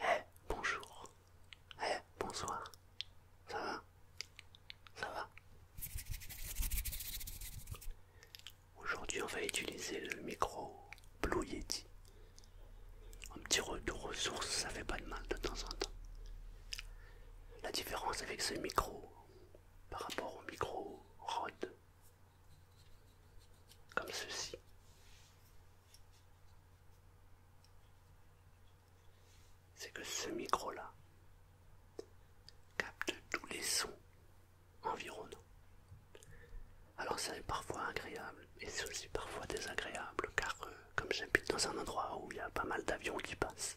Eh, bonjour. Eh, bonsoir. Ça va Ça va Aujourd'hui, on va utiliser le micro Blue Yeti. Un petit retour de ressources, ça fait pas de mal de temps en temps. La différence avec ce micro par rapport au micro rod comme ceci. C'est que ce micro-là capte tous les sons environnants. Alors c'est parfois agréable mais c'est aussi parfois désagréable car euh, comme j'habite dans un endroit où il y a pas mal d'avions qui passent,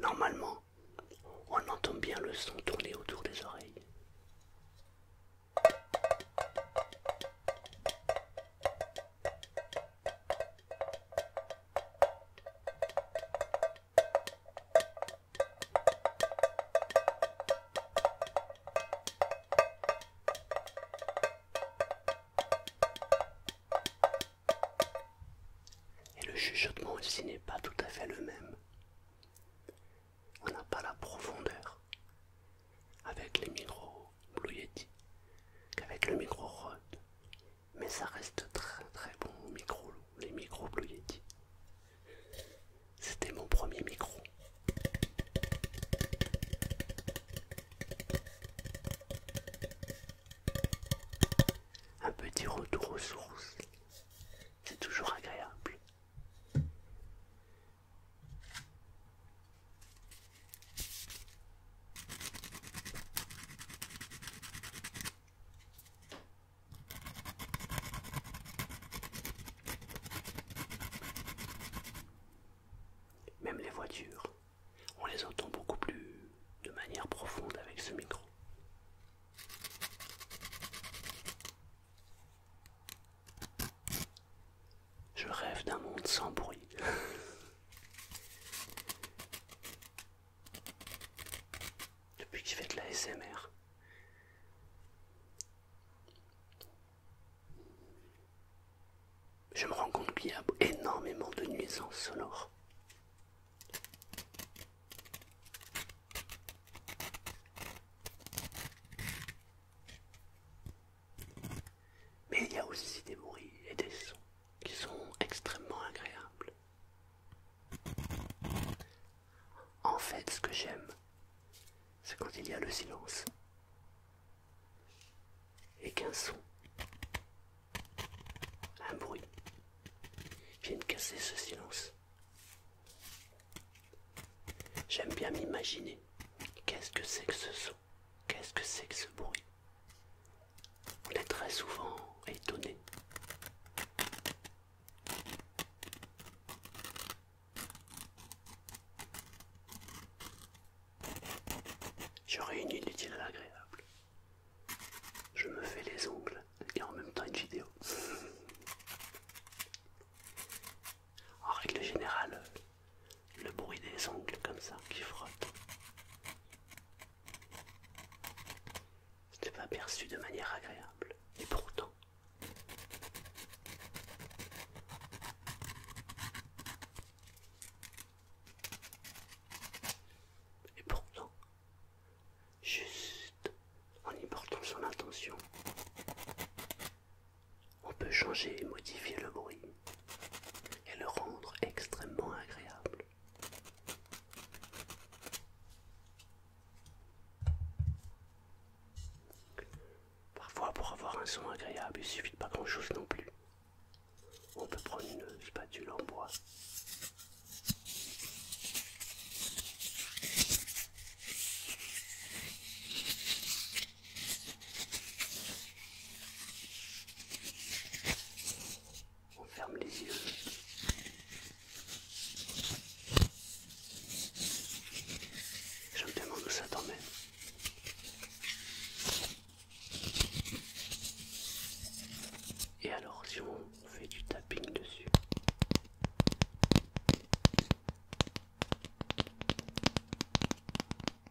Normalement, on entend bien le son tourner autour des oreilles. Et le chuchotement aussi n'est pas tout à fait le même. On n'a pas la profondeur. Avec les micros, Blue Yeti qu'avec le micro Rode. Mais ça reste très très bon micro, les micros Blue Yeti. C'était mon premier micro. Un petit retour aux sources, c'est toujours agréable. Même les voitures, on les entend beaucoup plus de manière profonde avec ce micro. Je rêve d'un monde sans bruit. Depuis que je fais de la SMR. Je me rends compte qu'il y a énormément de nuisances sonores. Mais il y a aussi des bruits et des sons qui sont extrêmement agréables. En fait, ce que j'aime, c'est quand il y a le silence et qu'un son, un bruit, vienne casser ce silence. J'aime bien m'imaginer qu'est-ce que c'est que ce son. Qu'est-ce que c'est que ce bruit On est très souvent étonné. J'aurais une idée à l'agréable. Je me fais les ongles et en même temps une vidéo. En règle générale, le bruit des ongles comme ça qui frottent. C'était pas perçu de manière agréable, et pourtant. Et pourtant, juste en y portant son attention, on peut changer et modifier le bruit et le rendre extrêmement agréable. Parfois pour avoir un son agréable, il suffit de pas grand chose non plus. On peut prendre une spatule en bois. On ferme les yeux. Je me demande où ça t'emmène. Et alors si on fait du tapping dessus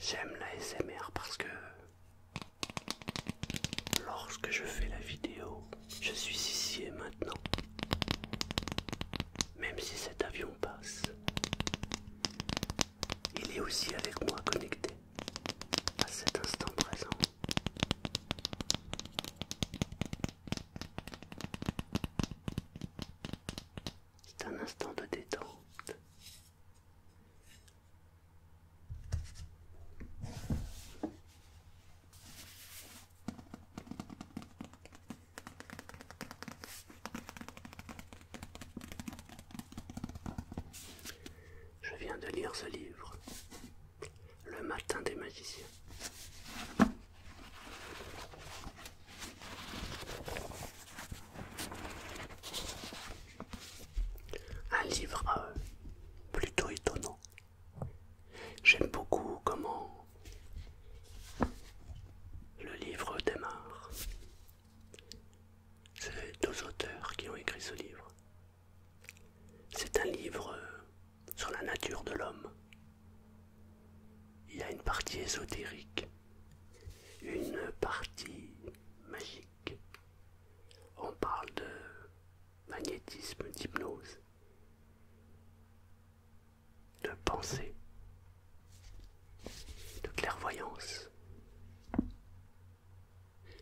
J'aime la SMR parce que lorsque je fais la vidéo, je suis ici et maintenant. Même si cet avion passe, il est aussi avec moi connecté à cet instant présent. C'est un instant de détente. Je viens de lire ce livre, Le Matin des Magiciens. Un livre euh, plutôt étonnant. J'aime beaucoup comment le livre démarre. C'est deux auteurs qui ont écrit ce livre. C'est un livre euh, sur la nature de l'homme. Il y a une partie ésotérique, une partie magique. On parle de magnétisme, d'hypnose, de pensée de clairvoyance.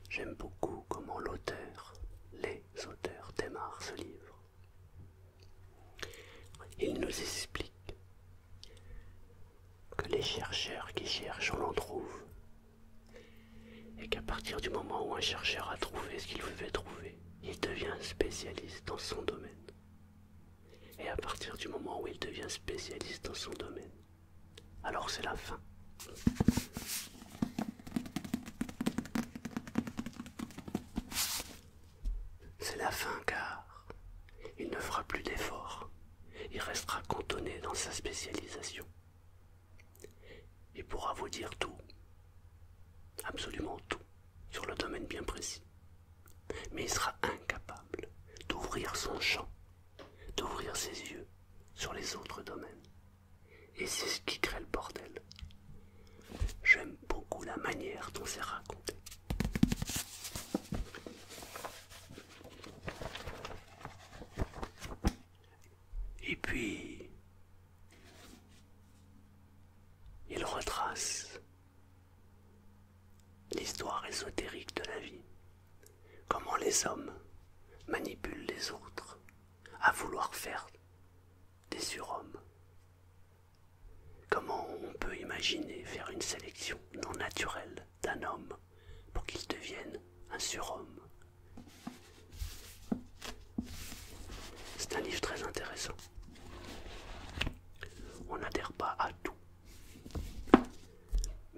J'aime beaucoup comment l'auteur, les auteurs démarrent ce livre. Il nous explique que les chercheurs qui cherchent, on en trouve. Et qu'à partir du moment où un chercheur a trouvé ce qu'il voulait trouver, il devient spécialiste dans son domaine. Et à partir du moment où il devient spécialiste dans son domaine, alors c'est la fin. C'est la fin car il ne fera plus d'efforts. Il restera cantonné dans sa spécialisation. Il pourra vous dire tout, absolument tout, sur le domaine bien précis. Mais il sera incapable d'ouvrir son champ d'ouvrir ses yeux sur les autres domaines. Et c'est ce qui crée le bordel. J'aime beaucoup la manière dont c'est raconté. Et puis, il retrace l'histoire ésotérique de la vie. Comment les hommes manipulent les autres à vouloir faire des surhommes. Comment on peut imaginer faire une sélection non naturelle d'un homme pour qu'il devienne un surhomme C'est un livre très intéressant. On n'adhère pas à tout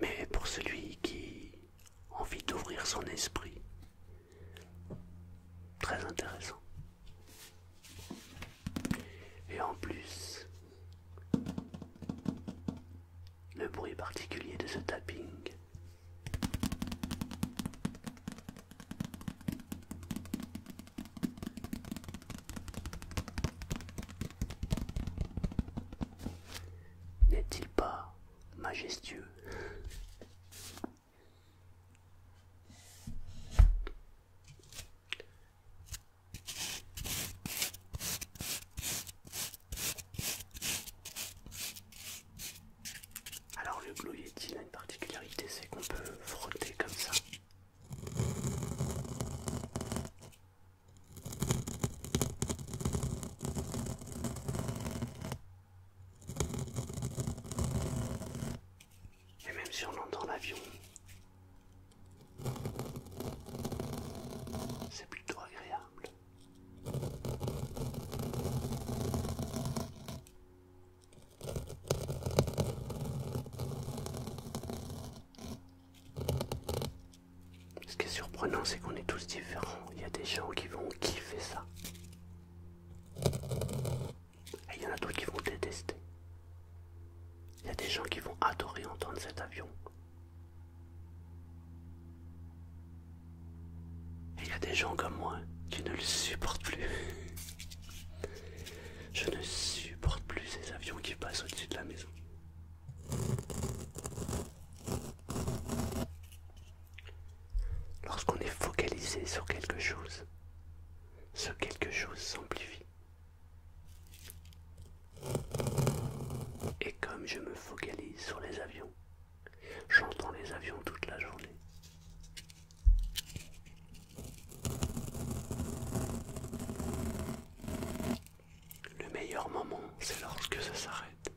mais pour celui qui envie d'ouvrir son esprit. Très intéressant. Et en plus, le bruit particulier de ce tapping. N'est-il pas majestueux Alors le Blue il a une particularité, c'est qu'on peut frotter comme ça et même si on entend l'avion, c'est plutôt agréable. Ce qui est surprenant, c'est qu'on est tous différents. Il y a des gens qui vont kiffer ça. Et il y en a d'autres qui vont détester. Il y a des gens qui vont adorer entendre cet avion. Et il y a des gens comme moi qui ne le supportent plus. Je ne supporte plus ces avions qui passent au-dessus de la maison. Lorsqu'on est focalisé sur quelque chose, ce quelque chose s'amplifie. Et comme je me focalise sur les avions, j'entends les avions toute la journée. Le meilleur moment, c'est lorsque ça s'arrête.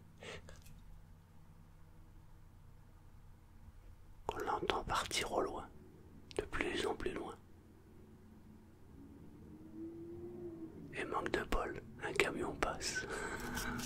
Qu'on l'entend partir au loin, de plus en plus loin. Et manque de bol, un camion passe.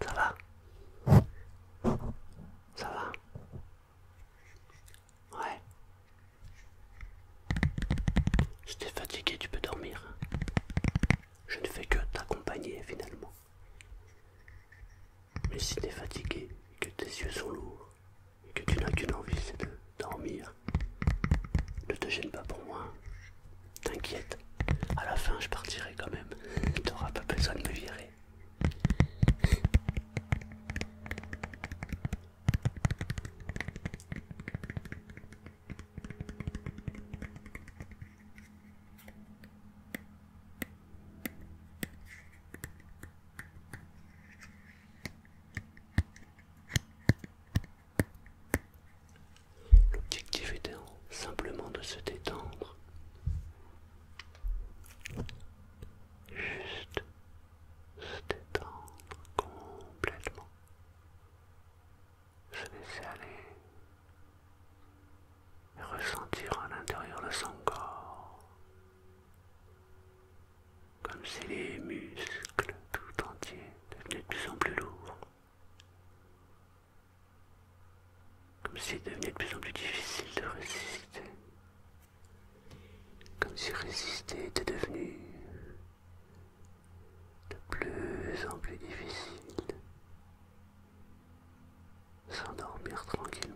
Ça va Ça va Ouais. Si t'es fatigué, tu peux dormir. Je ne fais que t'accompagner finalement. Mais si t'es fatigué, et que tes yeux sont lourds, et que tu n'as qu'une envie, c'est de dormir, ne te gêne pas pour moi. T'inquiète, à la fin je partirai quand même. T'auras pas besoin de me virer. L'objectif était simplement de se détendre. Juste se détendre complètement. Je laissais aller et ressentir à l'intérieur de son corps comme si les muscles tout entiers devenaient de plus en plus lourds, comme s'il devenait de plus en plus difficile de résister, comme si résister était devenu de plus en plus difficile. S'endormir tranquillement.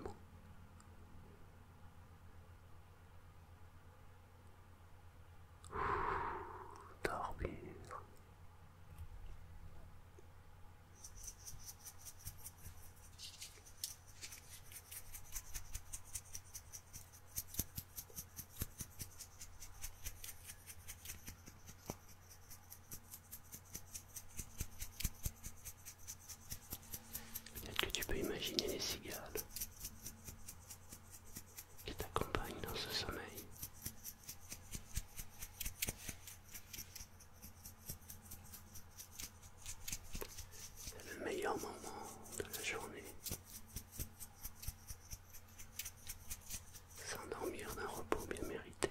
Peut-être que tu peux imaginer les cigales qui t'accompagnent dans ce sommeil. C'est le meilleur moment de la journée S'endormir d'un repos bien mérité.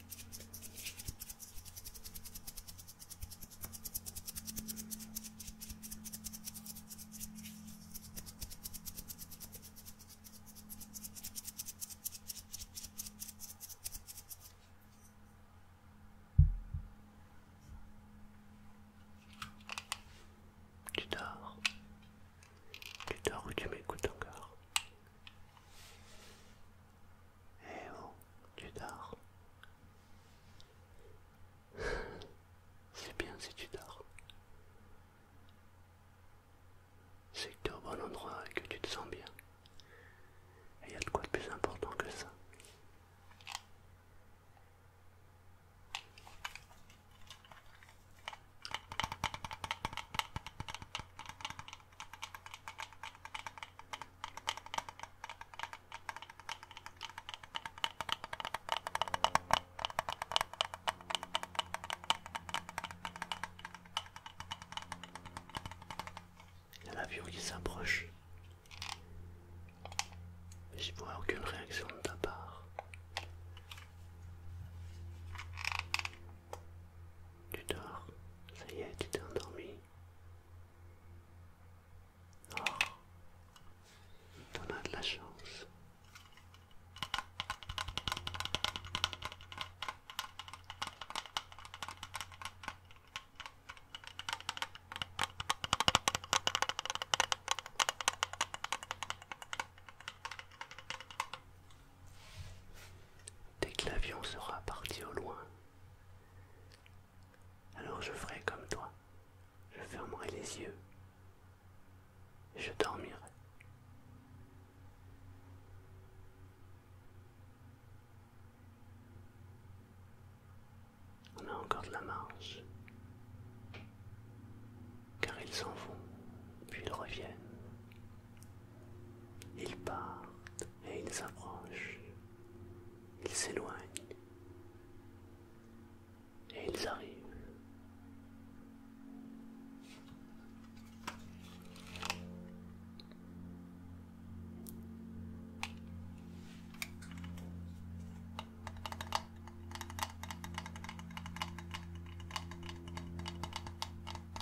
Tu dors Tu dors ou tu m'écoutes encore eh oh, tu dors. C'est bien si tu dors. C'est que tu es au bon endroit et que tu te sens bien. Et il y a de quoi de plus important que ça. Il y qui s'approche. j'y vois aucune réaction de ta part. Tu dors, ça y est, tu t'es endormi. Oh, en as de la chance. Dès que l'avion sera parti au loin, alors je ferai comme toi. Je fermerai les yeux et je dormirai. On a encore de la marge, car ils s'en vont, puis ils reviennent. Ils partent et ils s'approchent. Ils s'éloignent et ils arrivent.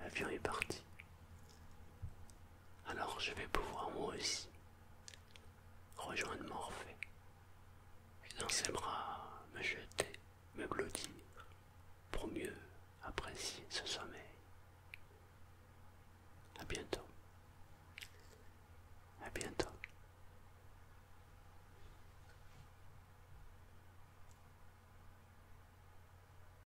L'avion est parti. Alors je vais pouvoir moi aussi rejoindre Morphée et dans ses bras me jeter, me blottir pour mieux apprécier ce sommeil. À bientôt. À bientôt.